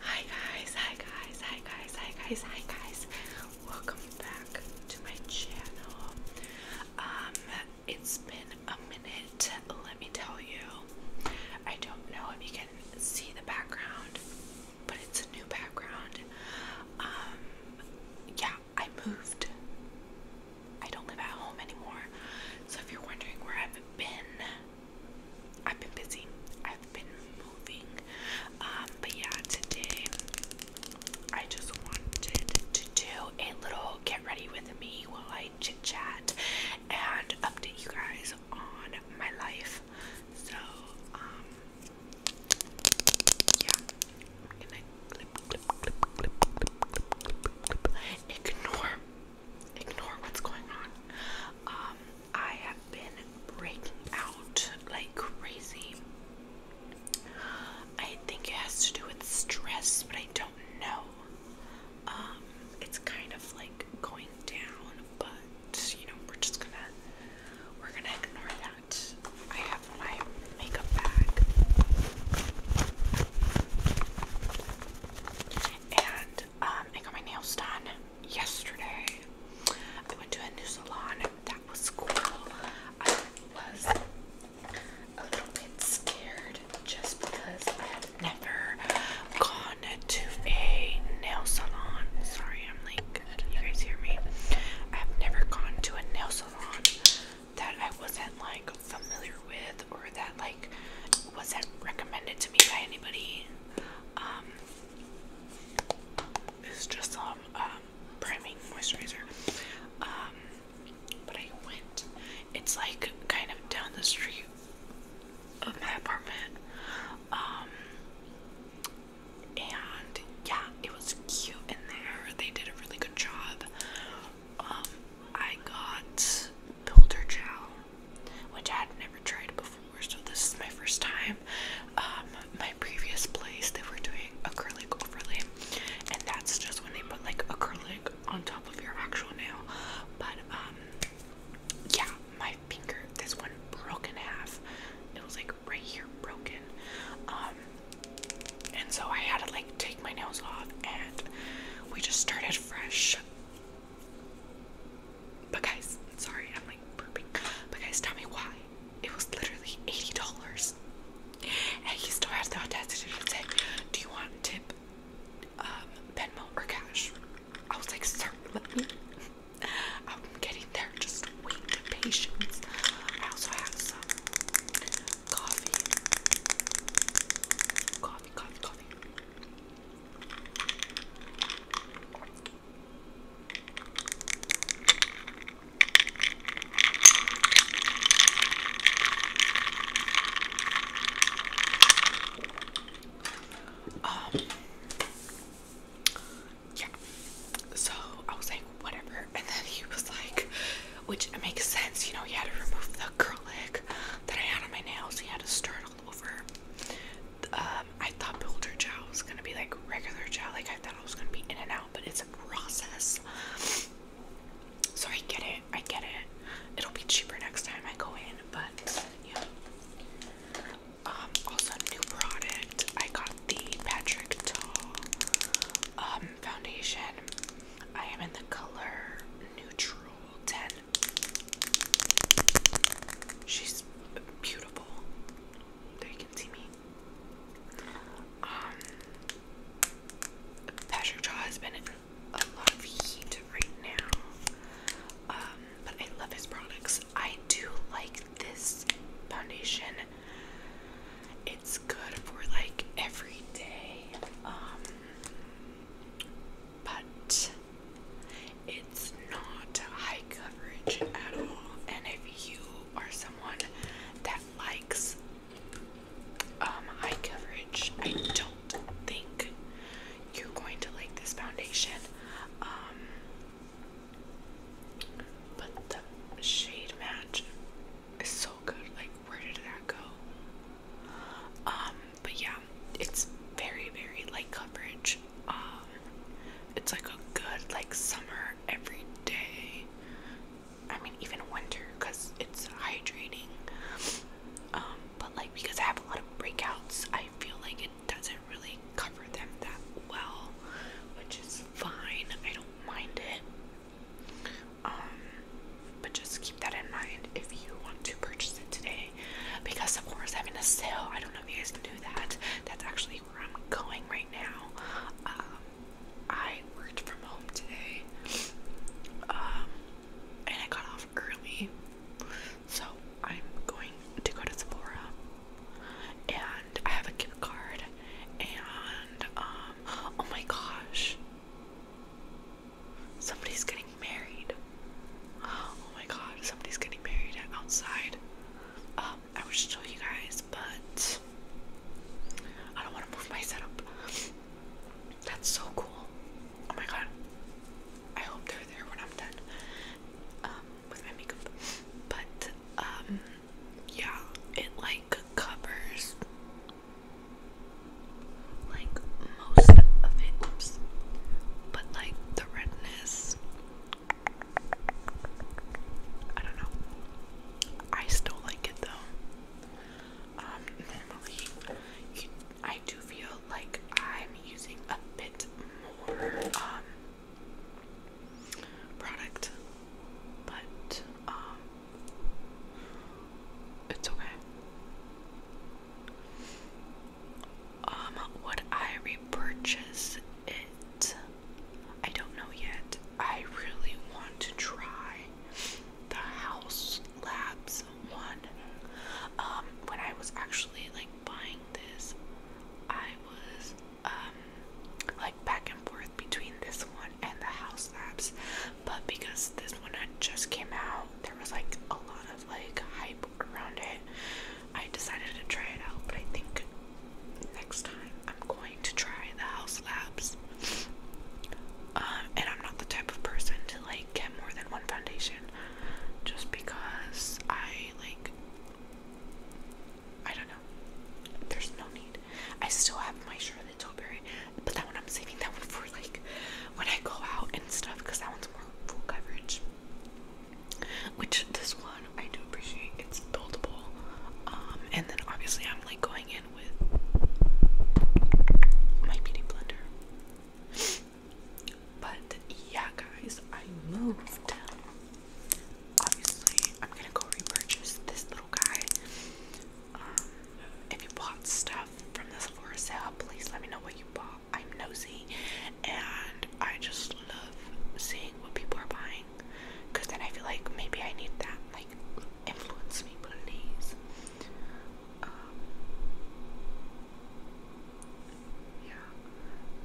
Hi guys, hi guys, hi guys, hi guys, hi guys. Welcome back to my channel. Um, it's been a minute, let me tell you. I don't know if you can see the background, but it's a new background. Um, yeah, I moved. I don't live at home anymore. So if you're wondering where I've been, I've been busy. I've been moving. Um, but yeah, today I just wanted to do a little get ready with me while I chit chat and update you guys on my life. So, um, yeah, I'm gonna clip, clip, clip, clip, clip, clip, clip, clip, ignore ignore what's going on. Um, I have been breaking out like crazy. I think it has to do with stress, but I don't know. Um, it's kind of like going down, but you know, we're just gonna we're gonna ignore that. I have my makeup bag. And um I got my nails done yesterday. I went to a new salon. That was cool. I was a little bit scared just because I have never gone to a nail salon. Sorry, I'm like, Can you guys hear me? I have never gone to a nail salon that I wasn't like familiar with or that like wasn't recommended to me by anybody. Um, it's just some um, um, priming moisturizer. Um, but I went. It's like kind of down the street of my apartment. Um, and yeah, it was cute in there. They did a really good job. Um, I got builder which I had never tried before, so this is my first time. Um, my previous place, they were doing acrylic overlay, and that's just when they put like acrylic on top of your actual nail. But um, yeah, my finger, this one broke in half. It was like right here, broken. Um, and so I had to like take my nails off, and we just started fresh. But guys, sorry, I'm like burping. But guys, tell me why. It was literally $80. And he still has the audacity to say, do you want tip, um, Venmo or cash? I was like, sir, let me. I'm getting there. Just wait with patience. I also have some coffee. Coffee, coffee, coffee. Um, yeah. So I was like, whatever. And then he was like, which makes sense, you know, he had to remove the acrylic that I had on my nails. He had to start over. Um, I thought builder chow was gonna be like regular chow, like I thought it was gonna be in and out, but it's a process. So I get it, I get it. It'll be cheaper next time I go in, but yeah. Um, also new product. I got the Patrick Tall um, foundation. I am in the color neutral 10. She's beautiful. There you can see me. Um, Patrick Jaw has been in a lot of heat right now, um, but I love his products. I do like this foundation. It's good for like every day, um, but it's not high coverage at all. And if you are someone that likes um, high coverage, I don't think you're going to like this foundation. Um, but the shade match is so good. Like, where did that go? Um, but yeah, it's very, very light coverage. Um, it's like a good like summer every day. I mean, even winter because it's hydrating. Um, but like because I have a lot of breakouts, I feel like it doesn't really cover them that well, which is fine. I don't mind it. Um, but just keep that in mind if you want to purchase it today. Because because Sephora's having a sale. I don't know if you guys can do that. That's actually where I'm going right now. Um, I worked from home today, um, and I got off early, so I'm going to go to Sephora. And I have a gift card, and um, oh my gosh, somebody's getting married. Oh my god, somebody's getting married outside. Um, I wish to show you guys, but I don't want to move my setup. That's so cool. Oh my god. I hope they're there when I'm done um, with my makeup. But, um, yeah, it like covers like most of it. But like the redness I don't know. I still like it though. Um, normally, I do feel like I'm using a bit more um product, but um, it's okay. Um, would I repurchase it? I don't know yet. I really want to try the House Labs one. Um, when I was actually like buying this, I was um, like back and forth between this one and the House Labs, but because this one just came out, there was like a lot of like hype around it. I decided to try it out, but I think next time I'm going to try the House Labs. Um, and I'm not the type of person to like get more than one foundation just because I like I don't know. There's no need. I still have my Charlotte Tilbury, but that one I'm saving that one for like when I go out and stuff because that one's more full coverage which this one I do appreciate. It's buildable. Um, and then obviously I'm like going in with my beauty blender. But yeah, guys, I moved. Obviously, I'm gonna go repurchase this little guy. Um, if you bought stuff from the Sephora sale, please let me know what you bought. I'm nosy, and I just love seeing what people are buying because then I feel like maybe I need that. Like, influence me, please. Um, yeah.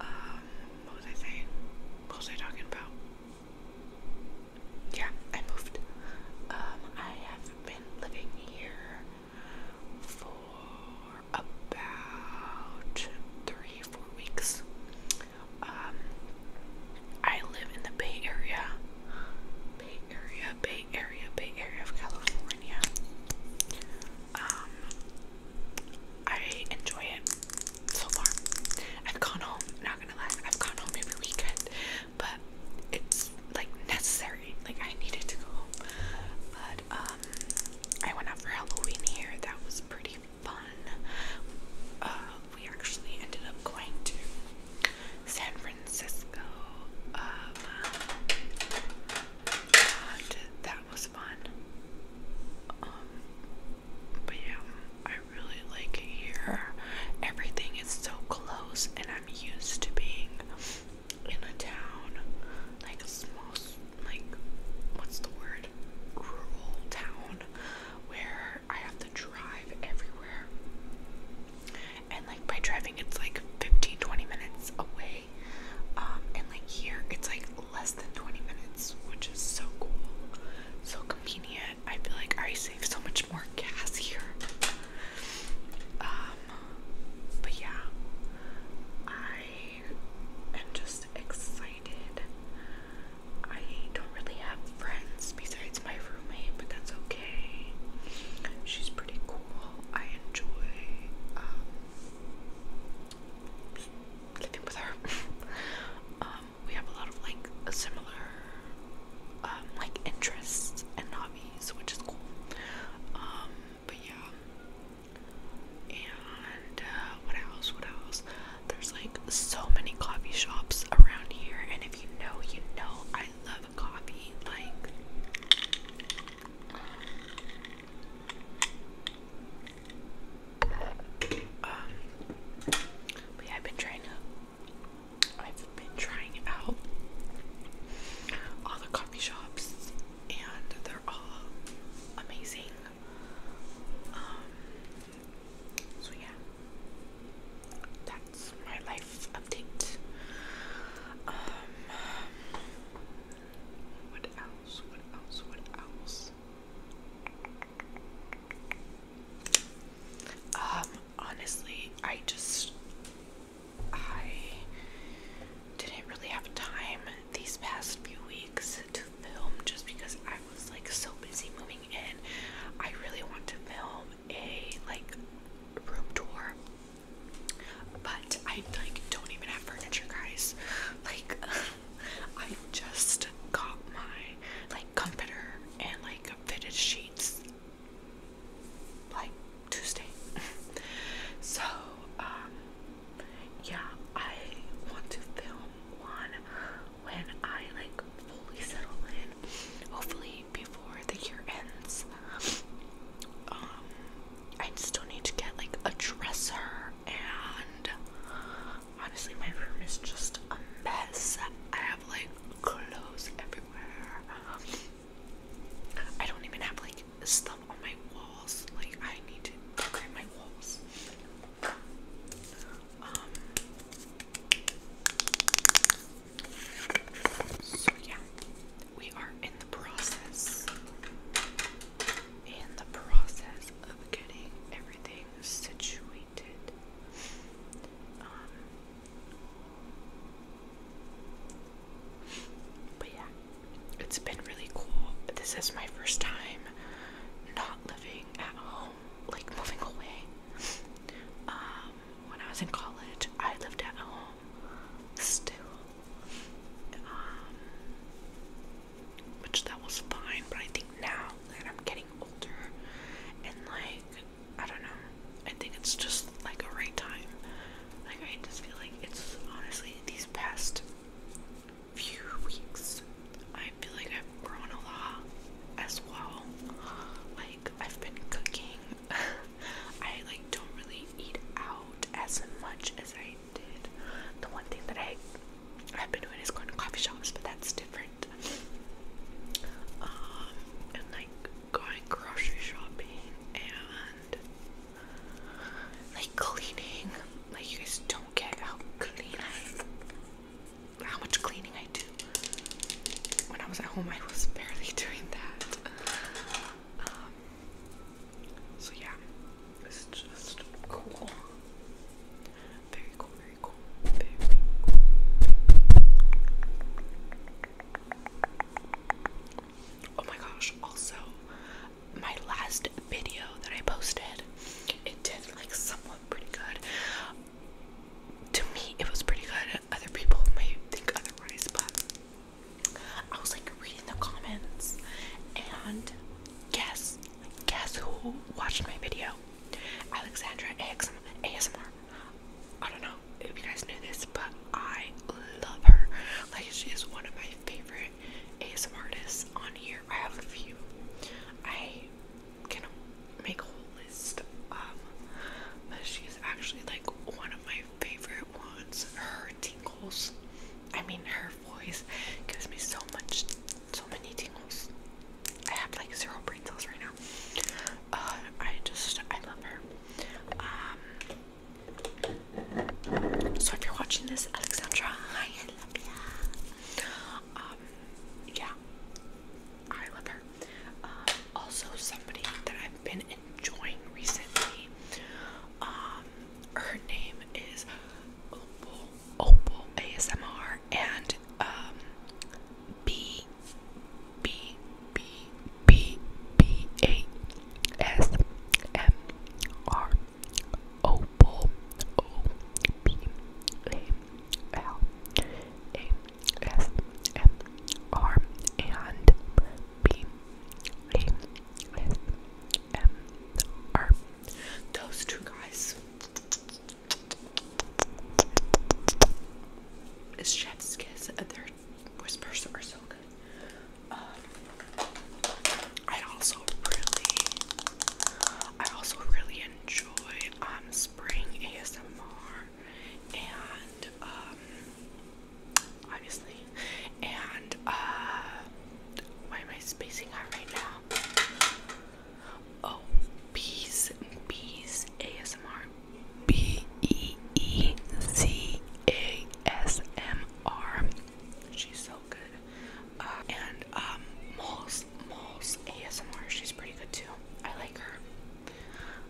Um, what was I saying? What was I talking about? Yeah, I moved. Um, I have been living here for about three, four weeks. Um, I live in the Bay Area, Bay Area, Bay Area, Bay Area of California. Um, I enjoy it so far. I've gone home, not gonna lie, I've gone home every weekend, but it's like necessary. Like I needed to go home. But um I went out for Halloween here. That was pretty fun. Uh, we actually ended up going to San Francisco. Um, and that was fun. Um, but yeah, I really like here. Everything is so close, and I'm used to being in a town, like a small like what's the word rural town where I have to drive everywhere. And like by driving it's like 15 minutes away. Um, and like here it's like less than 20 minutes, which is so cool. So convenient. I feel like I save so much more gas here. Um, but yeah. I I'm just excited. I don't really have friends besides my roommate, but that's okay. She's pretty cool. I enjoy um, living with her. Um, we have a lot of like similar um, like interests and hobbies, which is cool. but yeah, and uh, what else? What else? There's like so many coffee shops around here, and if you know, you know, I love coffee. Like, um, but I've been trying to, I've been trying out all the coffee shops, and they're all amazing. Um, so yeah, that's my life update. Um, what else? What else? What else? Um, honestly, I just I didn't really have time these past few weeks to film just because I was like so busy moving in. I really want to film a like room tour, but I like don't even have furniture, guys. Like, I just got my like comforter and like fitted sheets like Tuesday. so, um, yeah, I want to film one when I like fully settle in. Hopefully before the year ends. Um I still need to get like a dresser and honestly my room is just a mess. I have like clothes everywhere. I don't even have like stuff on my walls. Like I need to decorate my walls so yeah, we are in the process, in the process of getting everything situated. Um, but yeah, it's been really cool. This is my first time not living at home, like moving away. Um, when I was in college, I lived at home still. Um, which that was fine, but I think now that I'm getting older and like I don't know, I think it's just like a right time. Like I just feel like it's honestly these past few weeks, I feel like I've grown a lot as well. Like, I've been cooking. I like don't really eat out as much as I did. The one thing that I I've been doing is going to coffee shops, but that's different. Um, and like going grocery shopping and like cleaning. Like you guys don't get how clean I how much cleaning I do. When I was at home, I was barely doing that. Um, so yeah, it's just cool. Very cool, very cool, very cool. Oh my gosh, also, my last video that I posted. It did like somewhat pretty good. To me, it was pretty good. Other people may think otherwise, but I was like reading the comments and guess, guess who watched my video? Alexandra AXM, ASMR. I don't know if you guys knew this, but I love her. Like, she is one of my favorite ASMR artists on here. I have a few. I gonna make a whole list of, but she's actually like one of my favorite ones. Her tingles, I mean, her voice gives me so much, so many tingles. I have like zero brain cells right now. Uh, I just, I love her. Um, so if you're watching this, Alexandra, hi, I love ya. Um, yeah, I love her. Um, also, somebody that I've been enjoying recently. Um, her name is Opal ASMR and um B B B B B A S M R Opal O B A L A S M R and B A S M R. Those two guys. It's chef's kiss. Uh, Their whispers are so good. Um, I also really, I also really enjoy um spring ASMR and um, obviously and uh why am I spacing out right now? Oh bees bees ASMR B E E Z A S M R she's so good uh, and um Miss ASMR. She's pretty good too. I like her.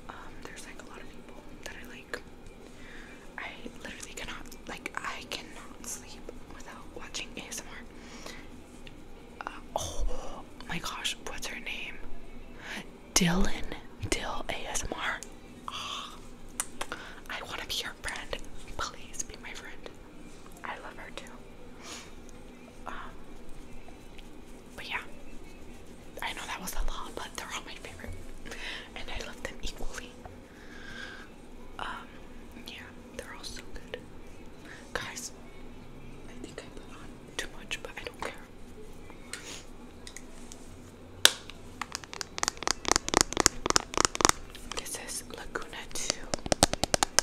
Um, there's like a lot of people that I like. I literally cannot like I cannot sleep without watching ASMR. Uh, oh my gosh, what's her name? Dylan Dill ASMR. Ah, I want to be your friend. Please be my friend. I love her too. Um, but yeah, I know that was a lot, but they're all my favorite, and I love them equally. Um, yeah, they're all so good, guys. I think I put on too much, but I don't care. This is Laguna 2.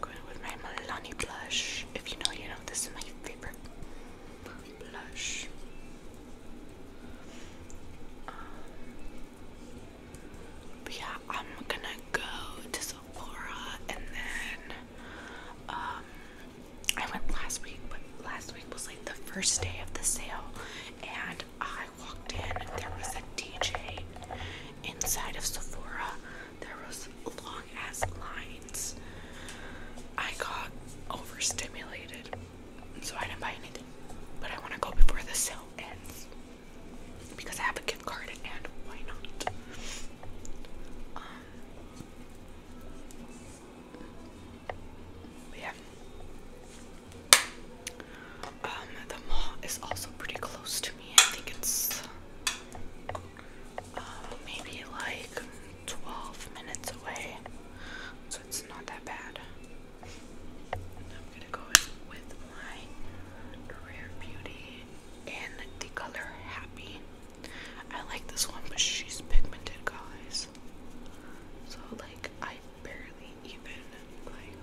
Going with my Milani blush. If you know, you know, this is my favorite blush. Um, but yeah, I'm gonna go to Sephora and then um I went last week, but last week was like the first day of the sale and I walked in there was a DJ inside of Sephora there was long ass lines. I got overstimulated, so I didn't buy anything. But I want to go before the sale ends because I have a gift card, and why not? Um, yeah. Um, the mall is also pretty close to me. I think it's uh, maybe like 12 minutes away, so it's not that bad. I'm gonna go in with my Rare Beauty in the color Happy. I like this one, but she's pigmented, guys. So like, I barely even like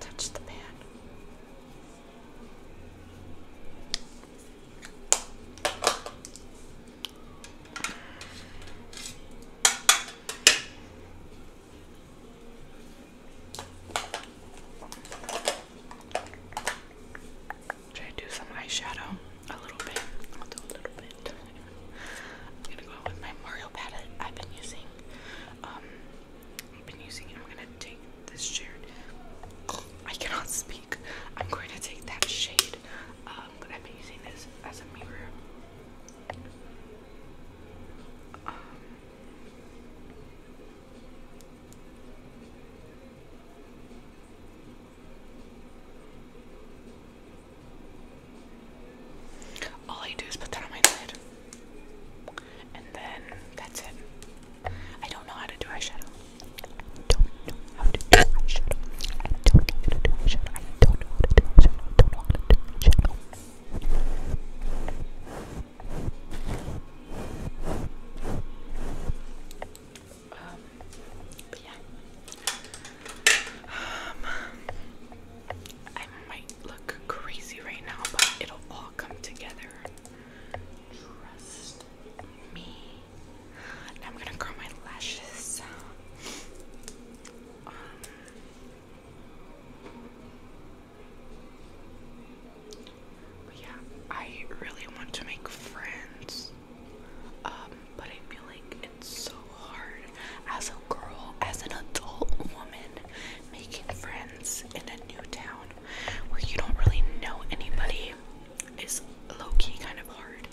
touch the pan. Should I do some eyeshadow? A little bit. I'll do a little bit. I'm gonna go with my Mario palette I've been using. Um, I've been using. I'm gonna take this shade. I cannot speak. I'm going to take that shade. Um, but I've been using this as a mirror. Um, all I do is put that on my head. And then that's it. I don't know how to do eyeshadow. I don't know how to do eyeshadow. don't know how to do eyeshadow. don't know how to do eyeshadow. don't know how to do eyeshadow. Um, but yeah. Um, I might look crazy right now, but it'll all come together. Trust me. I'm gonna curl my lashes. but um, yeah, I really want to make friends. Um, but I feel like it's so hard as a girl, as an adult woman, making friends in a new town where you don't really know anybody is low-key kind of hard.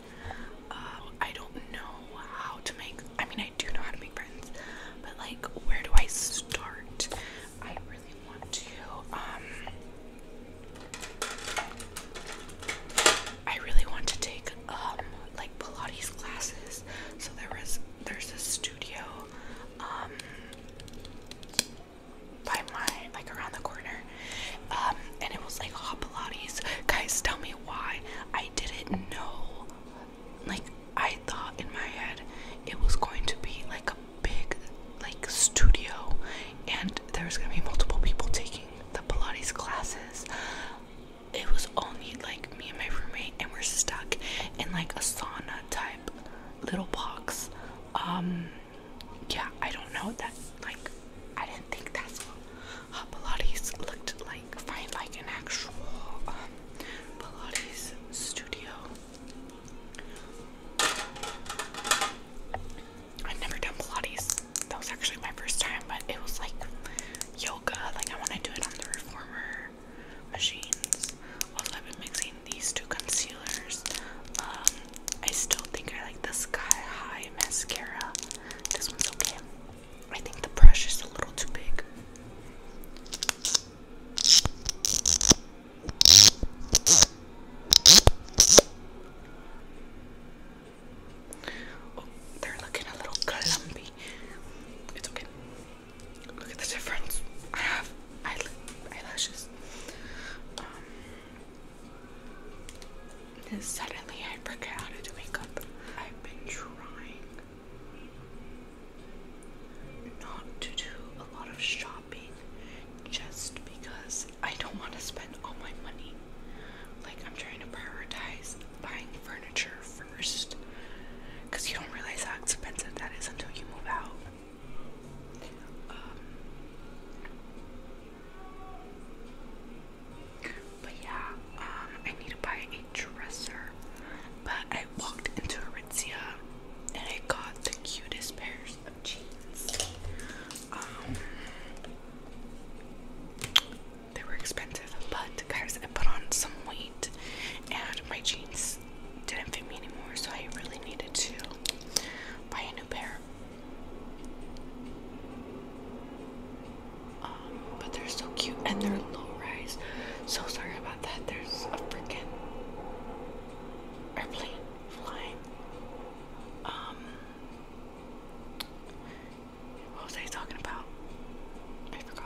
Um, I don't know how to make I mean I do know how to make friends, but like where do I start? I really want to um, I really want to take um, like Pilates classes. So there was there's a studio by my like around the corner um, and it was like hot pilates guys tell me why i didn't know like i thought in my head it was going to be like a big like studio and there's gonna be multiple people taking the pilates classes it was only like me and my roommate and we're stuck in like a sauna type little box um yeah, I don't know that. Like, I didn't think that's what Pilates looked like. Find like an actual um, Pilates studio. I've never done Pilates. That was actually my first time, but it was like yoga. Like I want to do it on the reformer machines. All of it these two concealers. Um, I still think I like the Sky High mascara. This one's okay. I think the brush is a little too big. Oh, they're looking a little clumpy. It's okay. Look at the difference. I have eyelashes. Um, and suddenly I forget how to do makeup. I've been trying not to do a lot of shopping just because I don't want to spend all my money. Like, I'm trying to prioritize buying furniture first because you don't realize how expensive that is until you move out. Um, but yeah, um, I need to buy a dresser. But I walked into Aritzia and I got the cutest pairs of jeans. Um, they were expensive, but guys, I put on some weight and my jeans didn't fit me anymore, so I really needed to buy a new pair. Um, but they're so cute and they're low rise. So sorry about that. There's a freaking airplane flying. Um, what was I talking about? I forgot.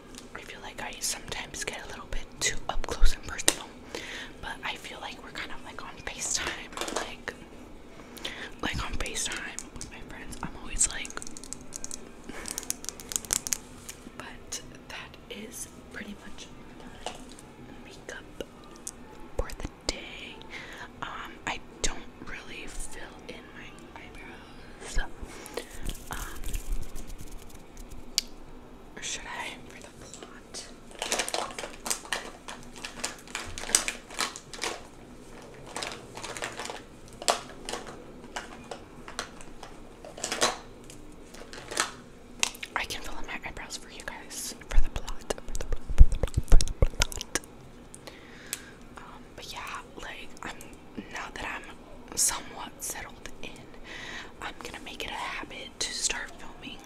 I feel like I sometimes get a little bit too up close and personal, but I feel like we're kind of like on FaceTime, like like on FaceTime with my friends. I'm always like, but that is pretty much makeup for the day. Um, I don't really fill in um, should I for the plot? I can fill in my eyebrows for you guys for the plot. but yeah, like I'm now that I'm somewhat settled in, I'm gonna make it a habit to start filming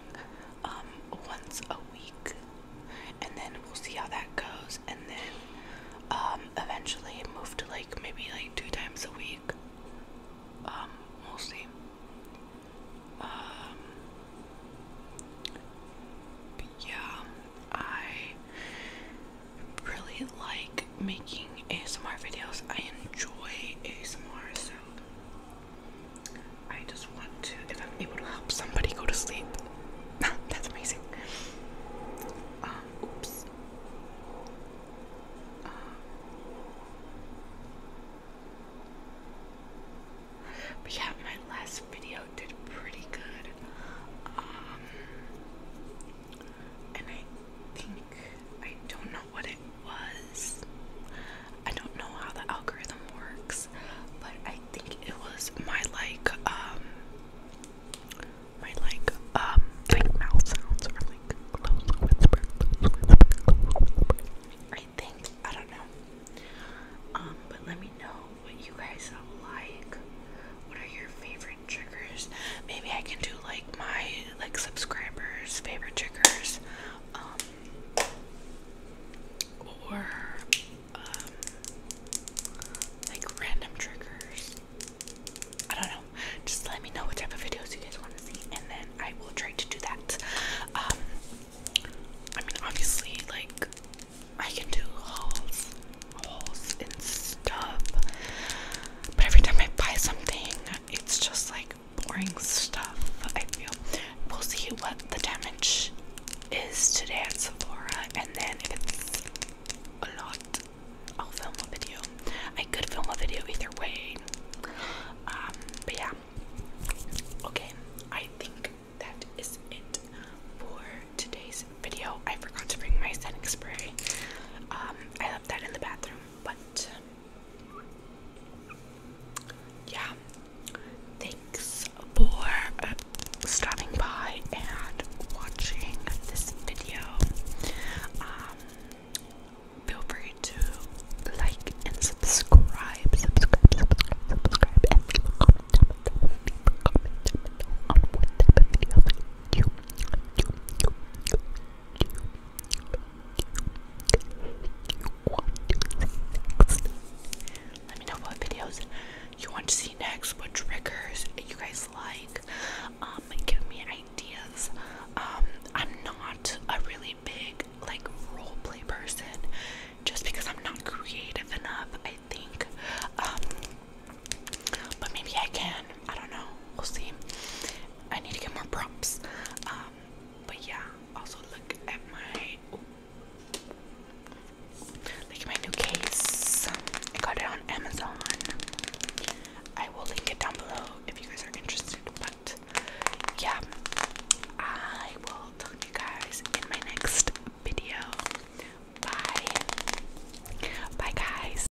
um once a week and then we'll see how that goes and then um eventually move to like maybe like two times a week. Um, we'll see. Um yeah, I really like making ASMR videos. I enjoy ASMR, so I just want to, if I'm able to help somebody go to sleep, that's amazing. Um, oops. Um, but yeah, my last video did pretty good. Um, and I think I don't know what it was. I don't know how the algorithm works, but I think it was my like um my like um like mouth sounds or like close whisper, whisper, whisper. I think I don't know. Um, but let me know what you guys like. What are your favorite triggers. Maybe I can do like my like subscribers' favorite triggers, um, or um, like random triggers. I don't know. Just let me know what type of videos you guys want to see, and then I will try to do that. Um, I mean, obviously, like I can do hauls, holes and stuff. But every time I buy something, it's just like boring stuff. I feel we'll see what the damage is today at Sephora, and then if it's a lot, I'll film a video. I could film a video either way. Um, but yeah. Okay, I think that is it for today's video. I forgot to bring my setting spray. Um, I left that in the bathroom, but yeah, thanks for uh, stopping by and watching this video. Um, feel free to like and subscribe, subscribe, subscribe, and leave a comment leave a comment on what type you, let me know what videos you want to see next, what triggers you guys like. Um, give me ideas. Um, I'm not a really big like role play person just because I'm not creative enough. I think um but maybe I can. I don't know. We'll see. I need to get more props. Um, but yeah, also look at my look at my new case. I got it on Amazon. I will link it down below if you guys are interested. But yeah, I will talk you guys in my next video. Bye. Bye guys.